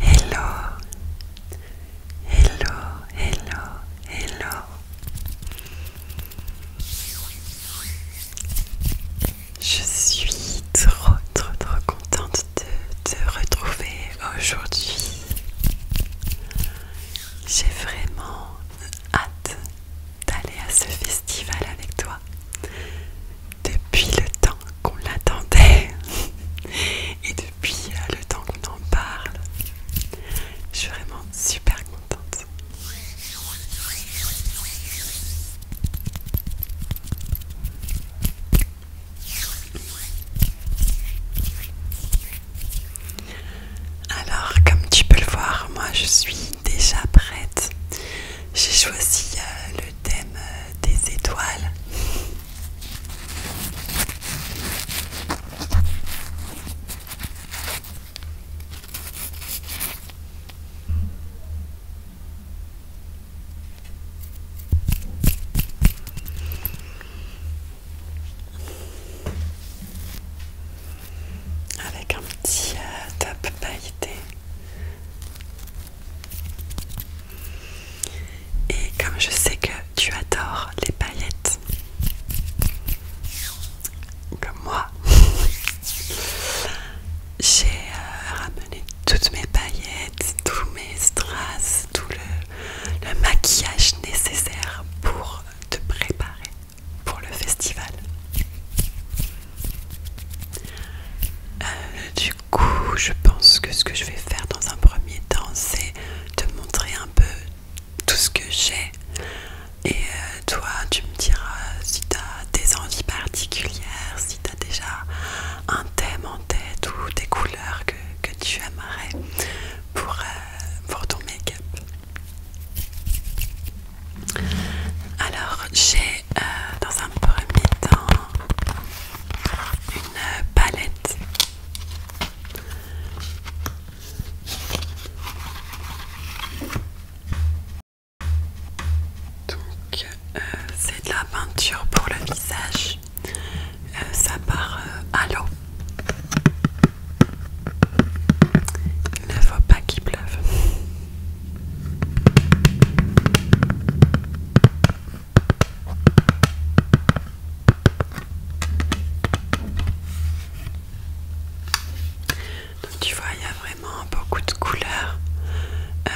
Hello, hello, hello, hello. Je suis trop, trop, trop contente de te retrouver aujourd'hui. J'ai vraiment hâte d'aller à ce festival avec toi. Depuis le temps qu'on l'attendait et depuis le temps qu'on en parle, je suis vraiment super contente. Alors, comme tu peux le voir, moi je suis déjà prête. J'ai choisi euh, le thème euh, des étoiles avec un petit euh, top pailleté. Et comme je sais que tu adores les paillettes, comme moi, j'ai euh, ramené toutes mes paillettes tous mes strass, tout le, maquillage nécessaire pour te préparer pour le festival. Euh, du coup, je pense que ce que je vais faire dans un premier temps, c'est te montrer un peu tout ce que j'ai. Et euh, toi, tu me diras si tu as des envies particulières, as déjà un thème en tête ou des couleurs que, tu aimerais pour, euh, pour ton make-up. Alors j'ai euh, dans un premier temps une palette. Donc euh, c'est de la peinture pour le visage. Euh, ça part euh, à l'eau. Il ne faut pas qu'il pleuve. Donc tu vois, il y a vraiment beaucoup de couleurs. Euh,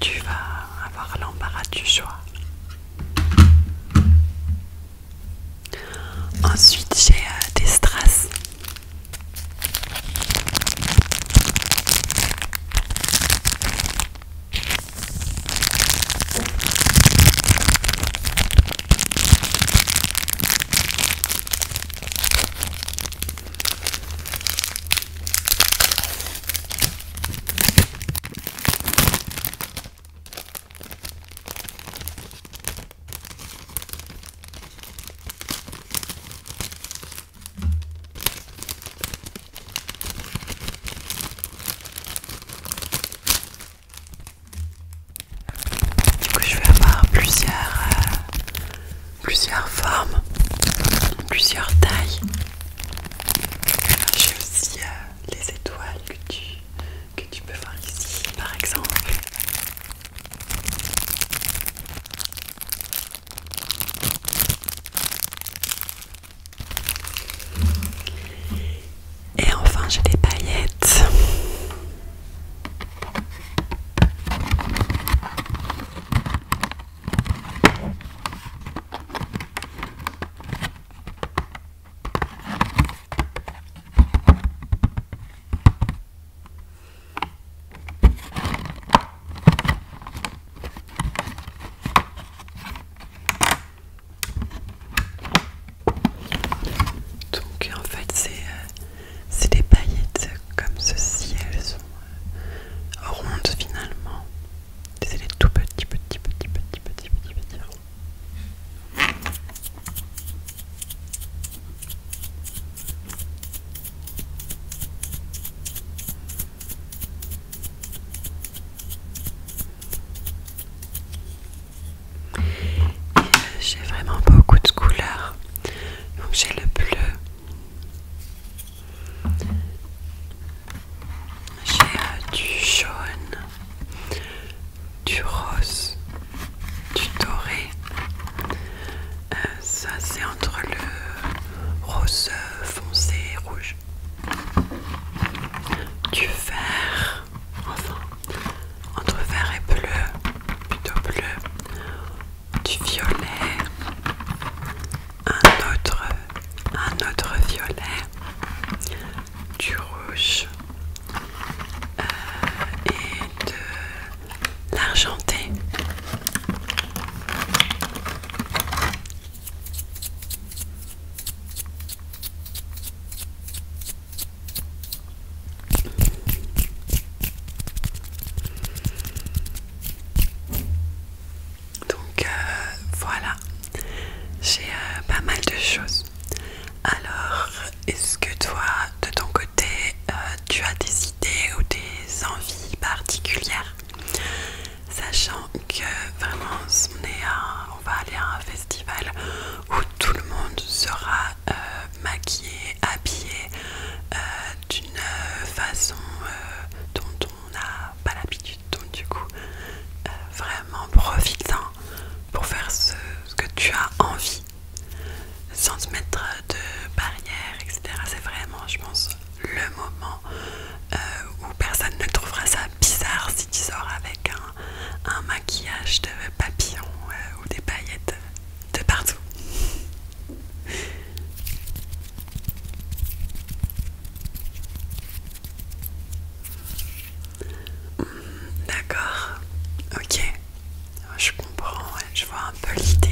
tu vas avoir l'embarras du choix. Ensuite, j'ai euh, des strass. Du coup, je vais avoir plusieurs, euh, plusieurs formes, plusieurs tailles. J'ai aussi euh, les étoiles que tu, que tu peux voir ici par exemple. Et enfin j'ai des paillettes. Donc en fait euh, c'est des paillettes comme ceci, elles sont euh, rondes finalement. C'est les tout petit petit petit petit petit petit petit... J'ai vraiment beaucoup de couleurs. Donc j'ai le bleu, j'ai euh, du jaune, du rose, du doré. Euh, ça c'est entre le rose foncé et rouge. Du vert, enfin, entre vert et bleu, plutôt bleu. Du violet, un autre, un autre violet, du rouge euh, et de l'argenté. Donc euh, voilà, j'ai euh, pas mal de choses. Alors, est-ce que toi, de ton côté, euh, tu as des idées ou des envies particulières Sachant que vraiment, on, va aller à un festival où tout le monde sera maquillé, habillé d'une façon dont on on n'a pas l'habitude. Donc du coup, euh, vraiment profite-en pour faire ce, que tu as envie, sans te mettre de barrières, etc. C'est vraiment, je pense, le moment euh, où personne ne trouvera ça bizarre si tu sors avec un, maquillage de papillon euh, ou des paillettes de partout. Hmm, d'accord, ok, je comprends, je vois un peu l'idée.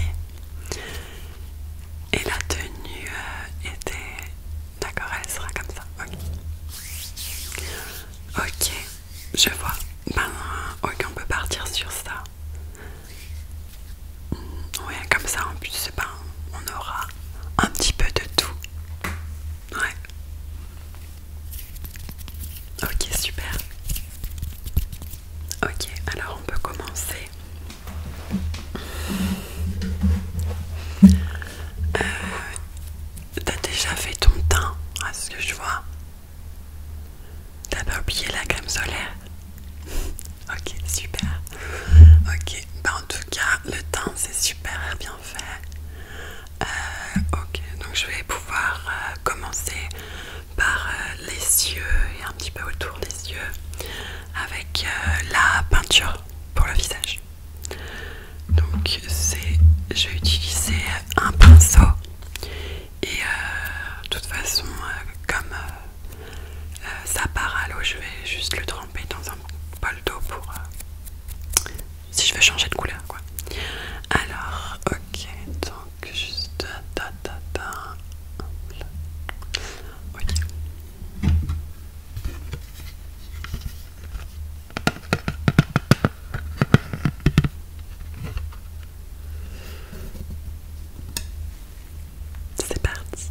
Et la tenue euh, était... D'accord, elle sera comme ça. Ok, Ok, je vois. Ben, ok, on peut partir sur ça. Ouais, comme ça en plus, on aura un petit peu de tout. Ouais. Ok, super. Ok, alors on peut commencer. Euh, t'as déjà fait ton teint, à ce que je vois. T'as pas oublié la crème solaire Ok, super. Ok, bah en tout cas, le teint c'est super bien fait. Euh, ok, donc je vais pouvoir euh, commencer par euh, les yeux et un petit peu autour des yeux avec la peinture pour le visage. Donc c'est, je vais utiliser un pinceau et de toute façon, comme euh, ça part à l'eau, je vais juste le tremper dans un bol d'eau pour euh, si je veux changer de couleur quoi. Alors, ok, donc juste ta ta Ok. C'est parti.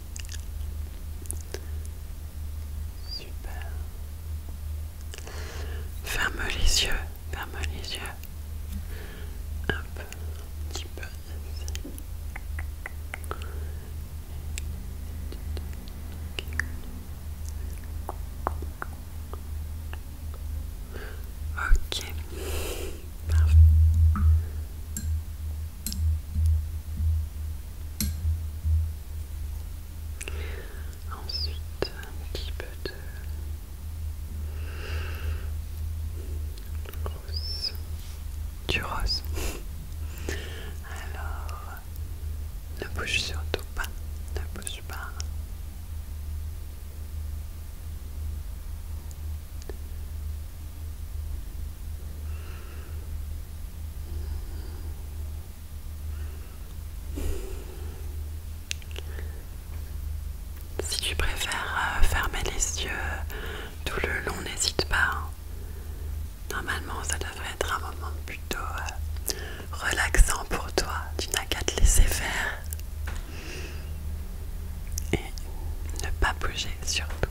Super. Ferme les yeux, ferme les yeux. un petit peu Ok, Ensuite, un petit peu de rose, du rose. Alors, ne bouge surtout pas, ne bouge pas. Si tu préfères euh, fermer les yeux tout le long, n'hésite pas. Hein. Normalement, ça devrait être un moment plutôt euh, relaxant pour toi. Tu n'as qu'à te laisser faire et ne pas bouger surtout.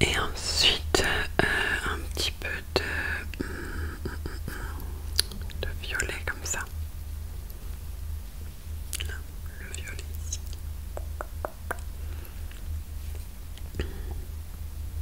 Et ensuite euh, un petit peu de, violet comme ça. le violet ici.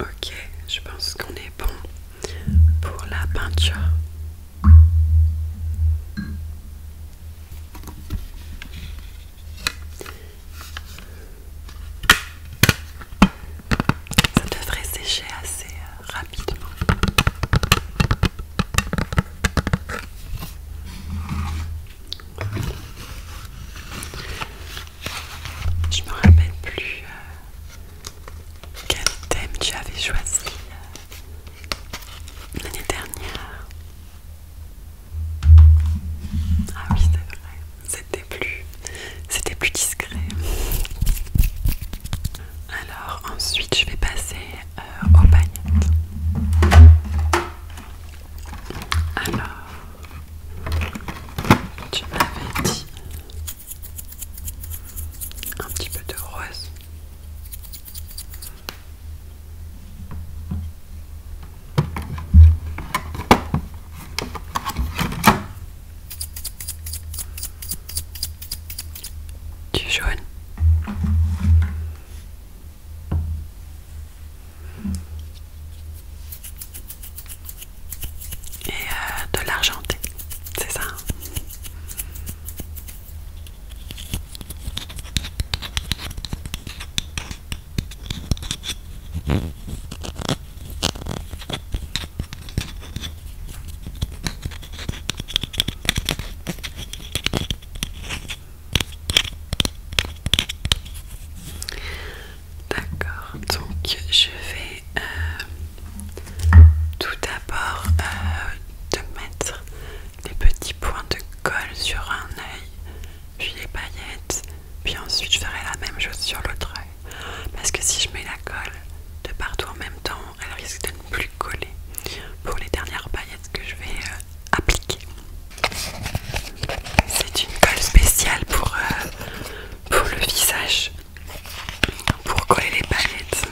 Ok, je pense qu'on est bon pour la peinture. Ça devrait sécher assez euh, rapidement. Je me rappelle plus euh, quel thème tu avais choisi euh, l'année dernière. Ah oui, c'est vrai, c'était plus, c'était plus discret. Alors ensuite, je vais passer euh, aux Alors, tu m'avais dit un petit peu de rose. Du jaune et euh, de l'argenté, c'est ça. Hein. D'accord, donc je vais euh, tout d'abord euh, te mettre des petits points de colle sur un œil, puis les paillettes, puis ensuite je ferai la même chose sur l'autre œil. Parce que si je mets la colle de partout en même temps, elle risque de ne plus coller pour les dernières paillettes que je vais euh, appliquer. C'est une colle spéciale pour, pour le visage pour coller les palettes.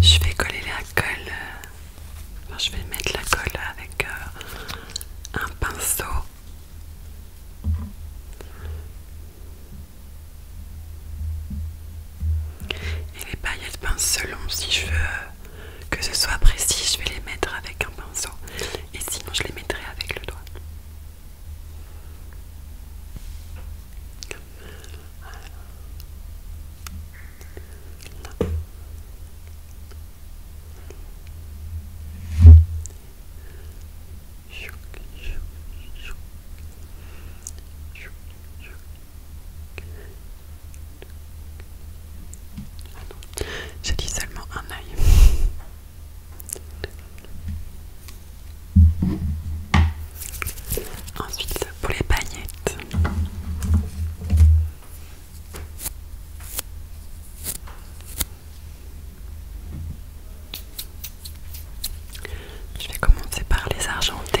Je vais coller la colle. Euh, je vais mettre la colle avec euh, un pinceau. Et les paillettes pince si je veux euh, que ce soit précis, je vais les mettre avec un pinceau. Et sinon, je les mettrai avec le doigt. J'ai dit seulement un œil. Ensuite, pour les bagnettes Je vais commencer par les argenter.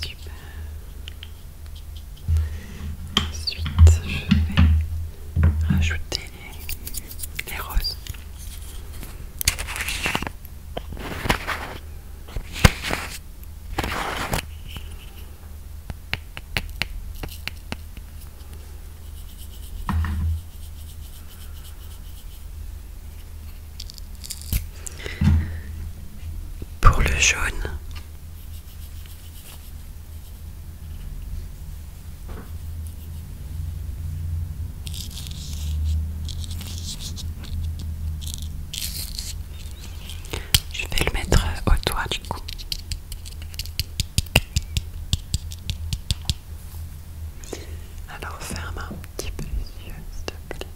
Super. Ensuite, je vais ajouter les roses. Pour le jaune, je vais le mettre au toit du coup. Alors ferme un petit peu les yeux, s'il te plaît.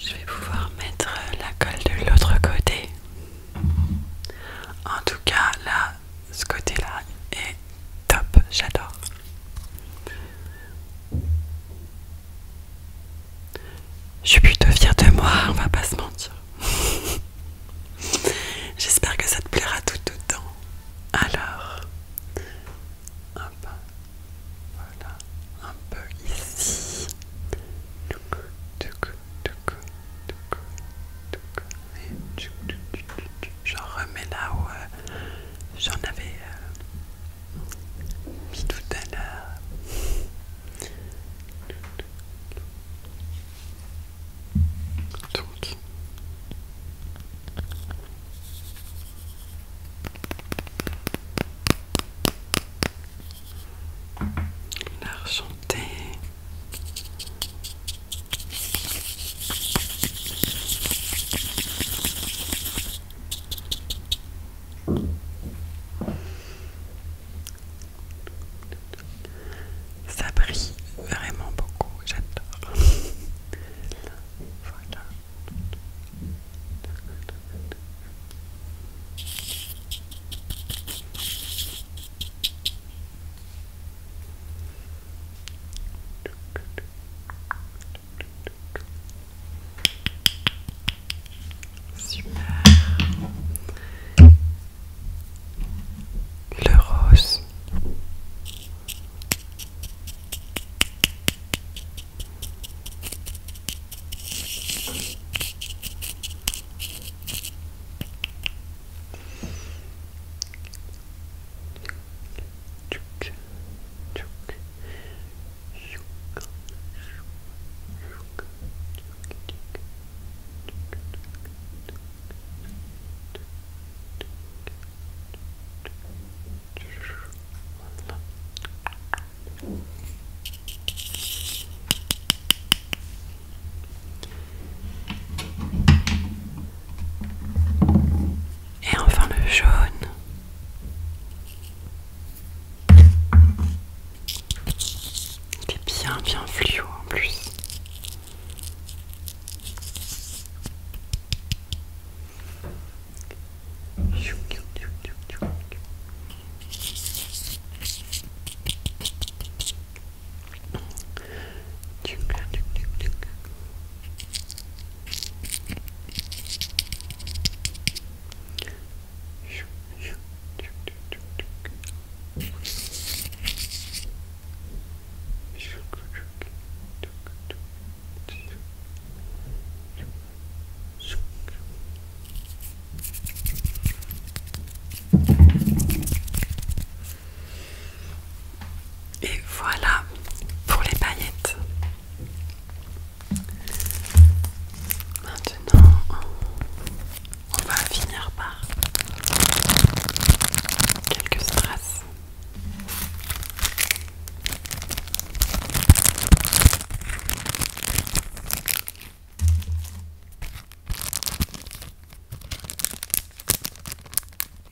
Je vais pouvoir mettre la colle de l'autre côté. En tout cas, là, ce côté-là est top, j'adore. Je suis plutôt fière de moi, on va pas se mentir. J'espère que ça te plaira tout autant. Alors, un peu, voilà, un peu ici. J'en remets là où euh, j'en avais euh, puis tout à l'heure. Donc. L'argenté. Ça brille vraiment beaucoup, j'adore. Super. Le rose. Et enfin le jaune. Il bien bien fluo en plus. Et voilà pour les paillettes. Maintenant, on va finir par quelques traces.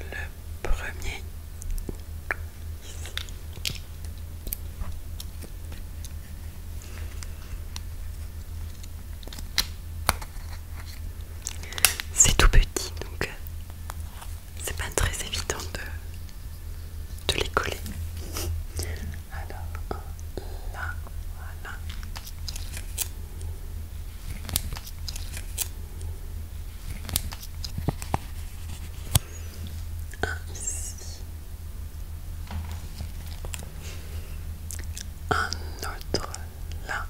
Le premier C'est tout petit donc euh, c'est pas très évident de, de les coller. Alors, un là, voilà. Un ici. Un autre là.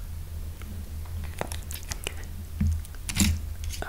Hop.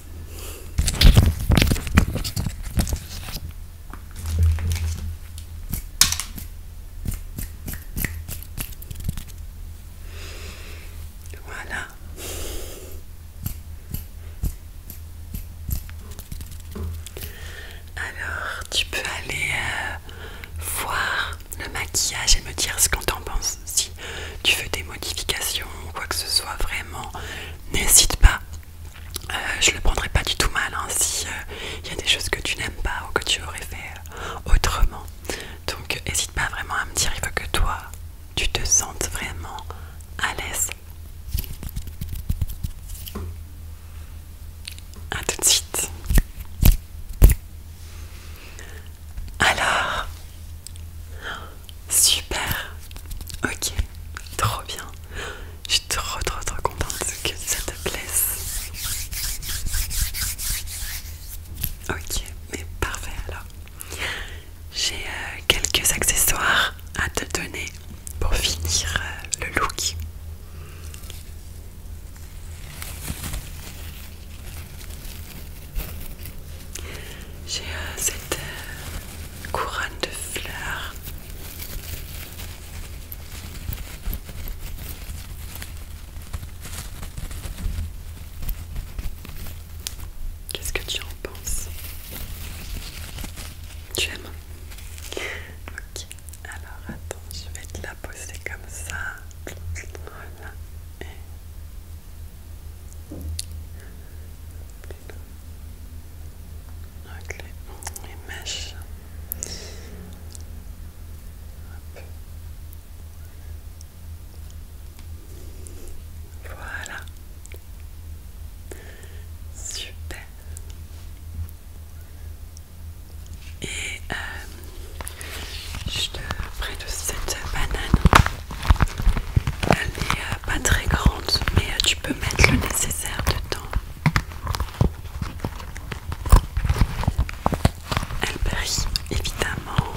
Voilà. Alors, tu peux aller euh, voir le maquillage et me dire ce qu'on t'en pense. Si tu veux des modifications ou quoi que ce soit, vraiment, n'hésite pas. Euh, je le prendrai pas du tout mal hein, si il euh, y a des choses que tu n'aimes pas ou que tu aurais fait euh, autrement. Donc n'hésite pas vraiment à me dire, il faut que toi tu te sentes vraiment à l'aise. A tout de suite. Alors, Super Ok, trop bien. Je suis trop trop trop contente que ça te plaise. Ok, mais parfait alors. J'ai euh, quelques accessoires à te donner pour finir euh, le look. J'ai euh, cette couronne de fleurs. Qu'est-ce que tu en penses Tu aimes Ok, alors attends, je vais te la poser comme ça. Voilà. Donc les, mèches. Voilà. Super. Et euh, je de cette banane. Elle est euh, pas très grande, mais euh, tu peux mettre le nécessaire dedans. Elle brille évidemment.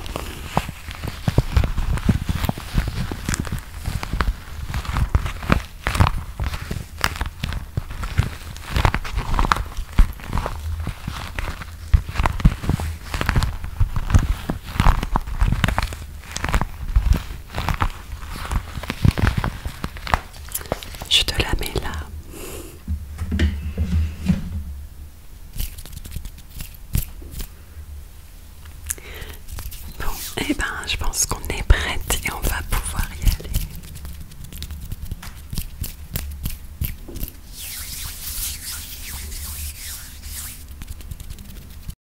Je te la mets là. Bon, et eh ben je pense qu'on est prête et on va pouvoir y aller.